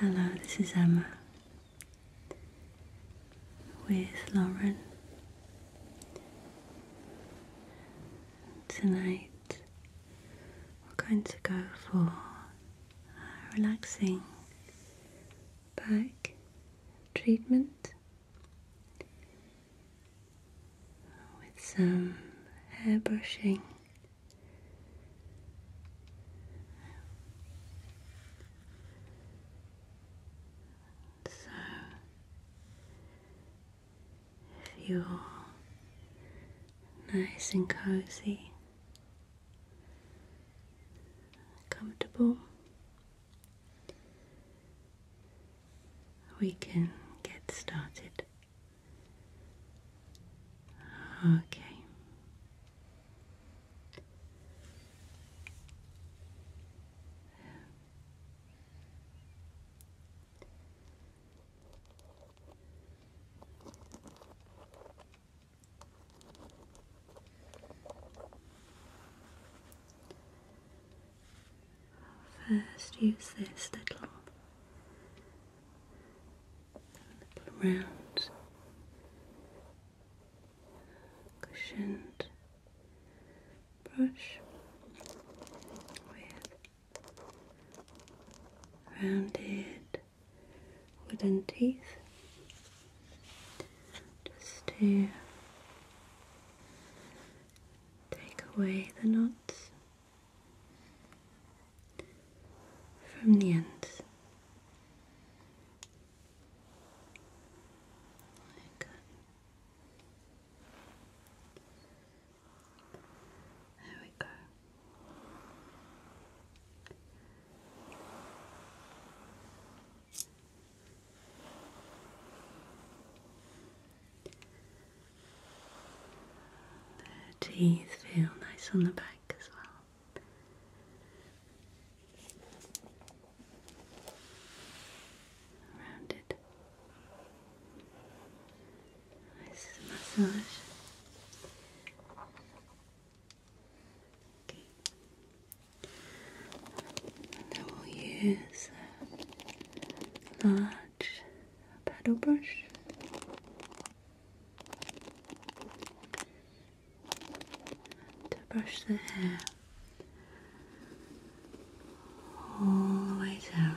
Hello, this is Emma with Lauren. Tonight we're going to go for a relaxing back treatment with some hair brushing. So, you're nice and cozy, comfortable, we can get started. Okay. First, use this little round cushioned brush with rounded wooden teeth just to Take away the knots from the ends. Like there we go. The teeth feel nice on the back as well. Rounded. Nice massage. And I will use a large paddle brush. To brush the hair all the way down.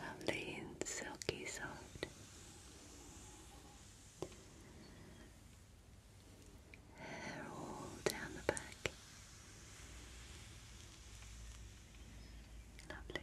Lovely and silky soft. Hair all down the back. Lovely.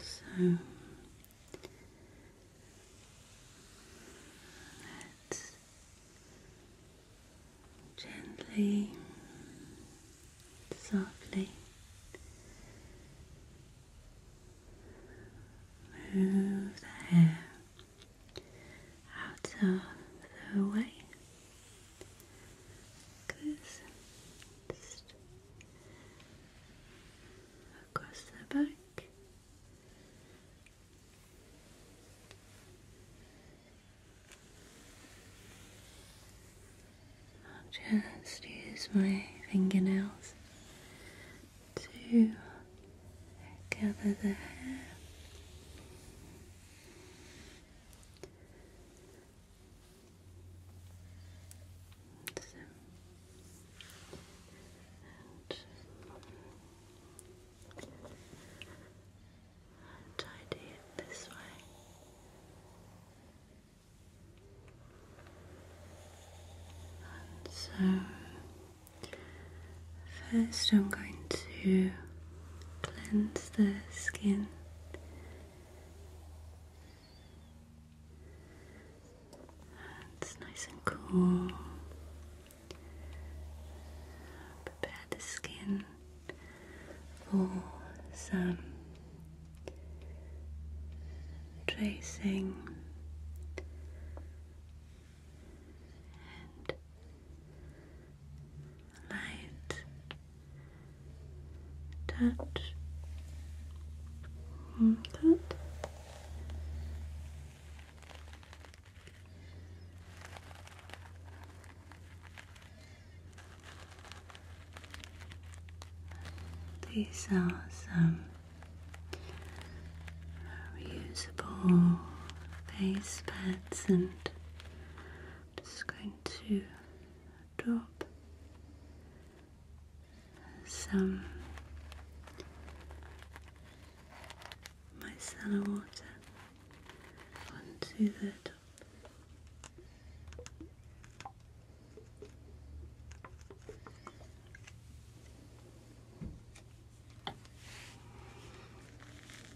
So let's gently, softly move the hair out of the way across the back. I'll just use my fingernails to gather the hair. So, and tidy it this way. so, first I'm going to cleanse the skin it's nice and cool. Prepare the skin for some tracing light touch. Mm, These are some reusable face pads, and just going to drop some micellar water onto the top.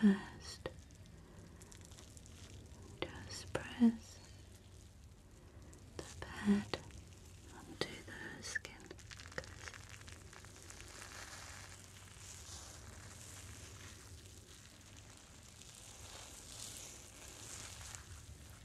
So, first, just press the pad onto the skin.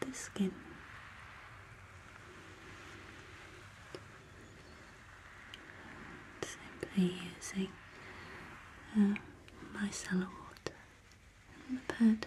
the skin. Simply using uh, micellar water and the pad.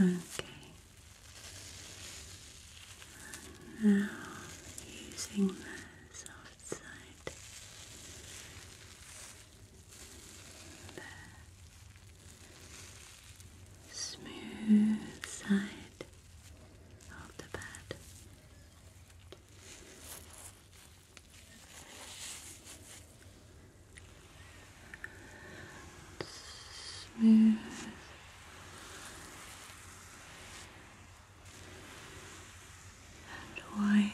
Okay. now using the soft side. The smooth side of the bed smooth and wipe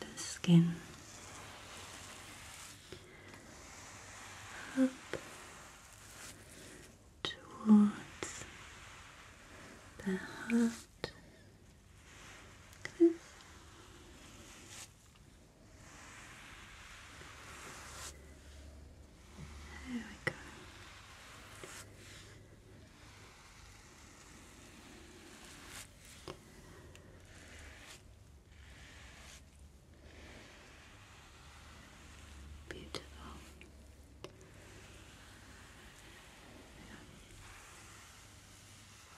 the skin up towards the heart. There we go. Beautiful.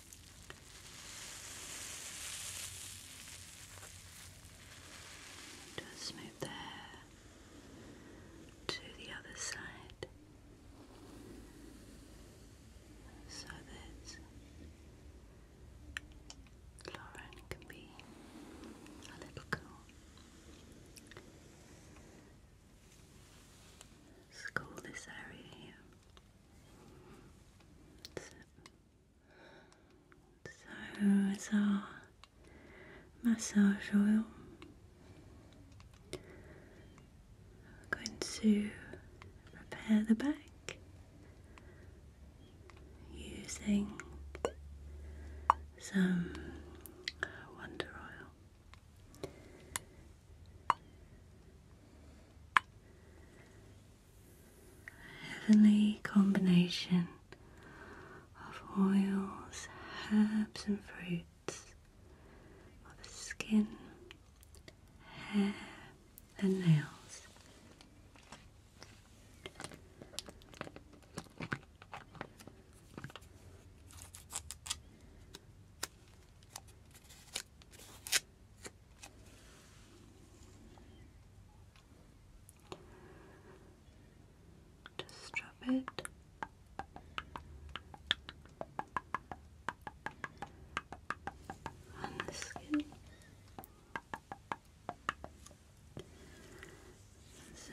Just move to the other side so that Lauren can be a little cool. let this area here so it's our massage oil. I'm going to prepare the back using some Wonder Oil heavenly combination of oils, herbs, and fruits of the skin, hair, and nails. Just strap it. On the skin. So.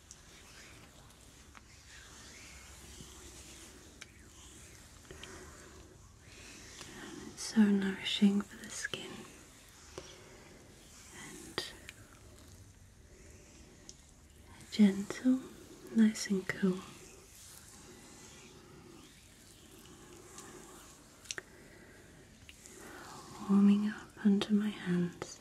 so nourishing for the skin and gentle, nice and cool. Warming up under my hands.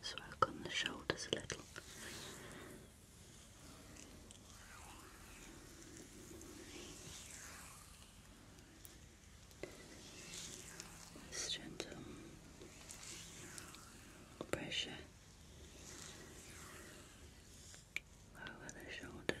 Let's work on the shoulders a little. This gentle pressure over the shoulders.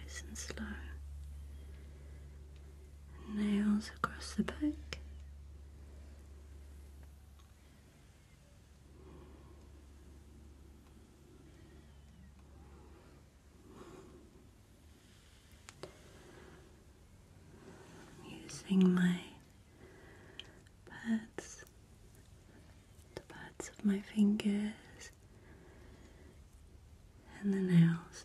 Nice and slow. Nails across the back using my pads, the pads of my fingers and the nails.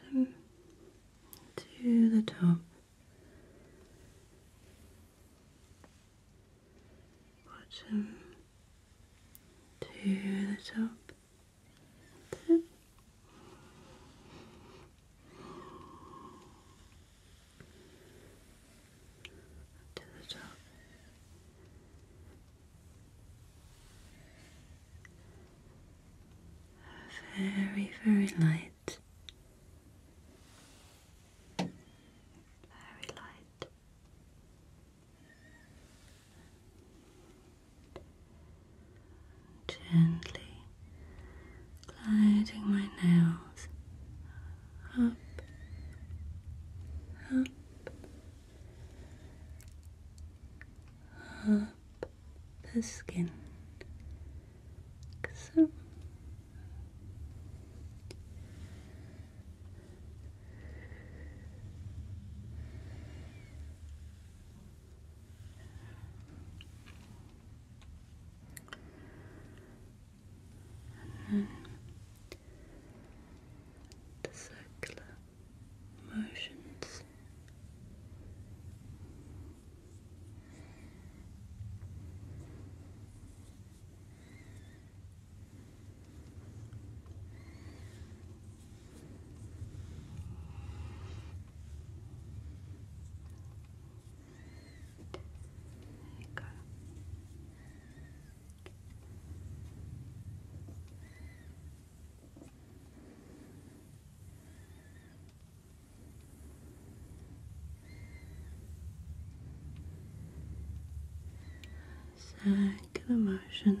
Bottom to the top. Bottom to the top to the top. Very, very light. Very light. Gently gliding my nails up, up, up the skin. So and then the circular motions. There you motions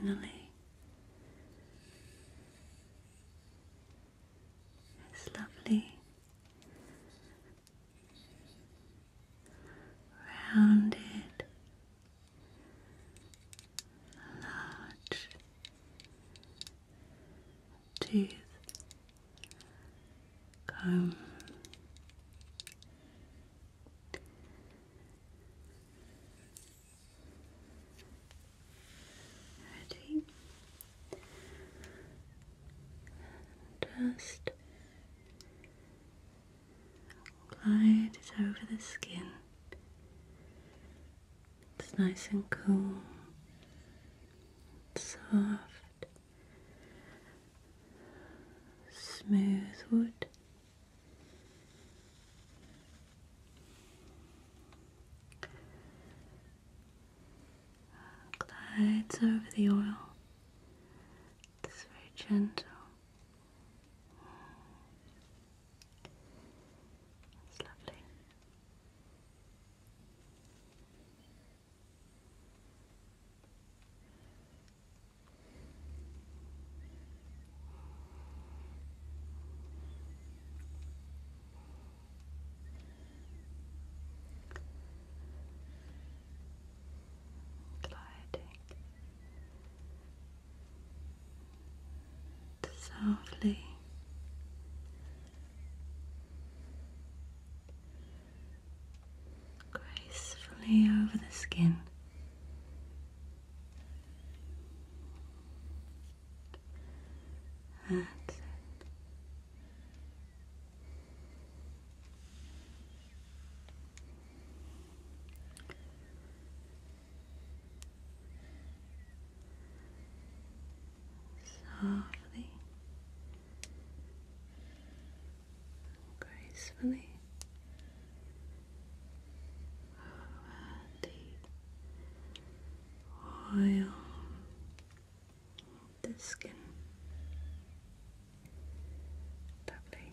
Finally, it's lovely rounded, large tooth, comb. Ready? Just glide it over the skin it's nice and cool, soft, smooth wood. Glides over the oil. It's very gentle. It's lovely gliding softly. Gracefully over the skin. That's softly, gracefully around the oil the skin. Lovely.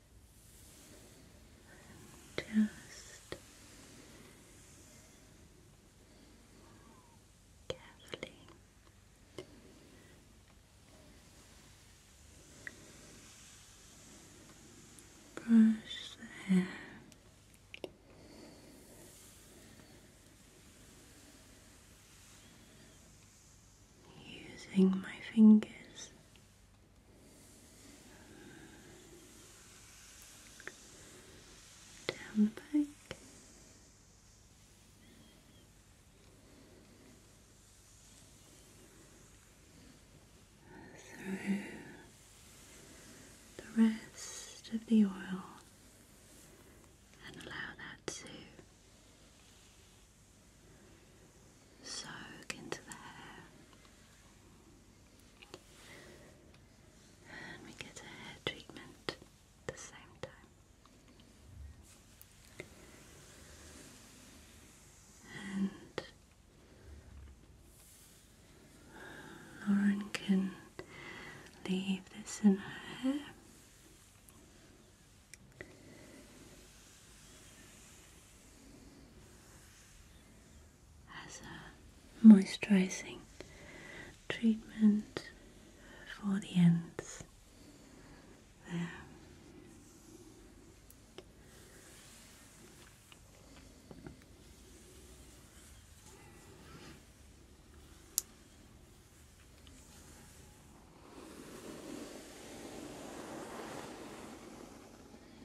Just carefully brush the hair. Using my fingers down the back. Through the rest of the oil and allow that to soak into the hair. And we get a hair treatment at the same time. And Lauren can leave this in her hair as a moisturizing treatment for the ends there.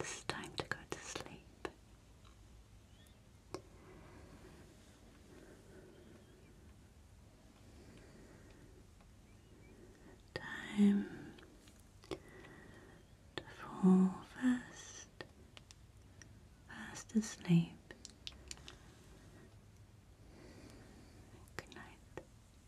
It's time to go to sleep. Time to fall fast, fast asleep. Good night.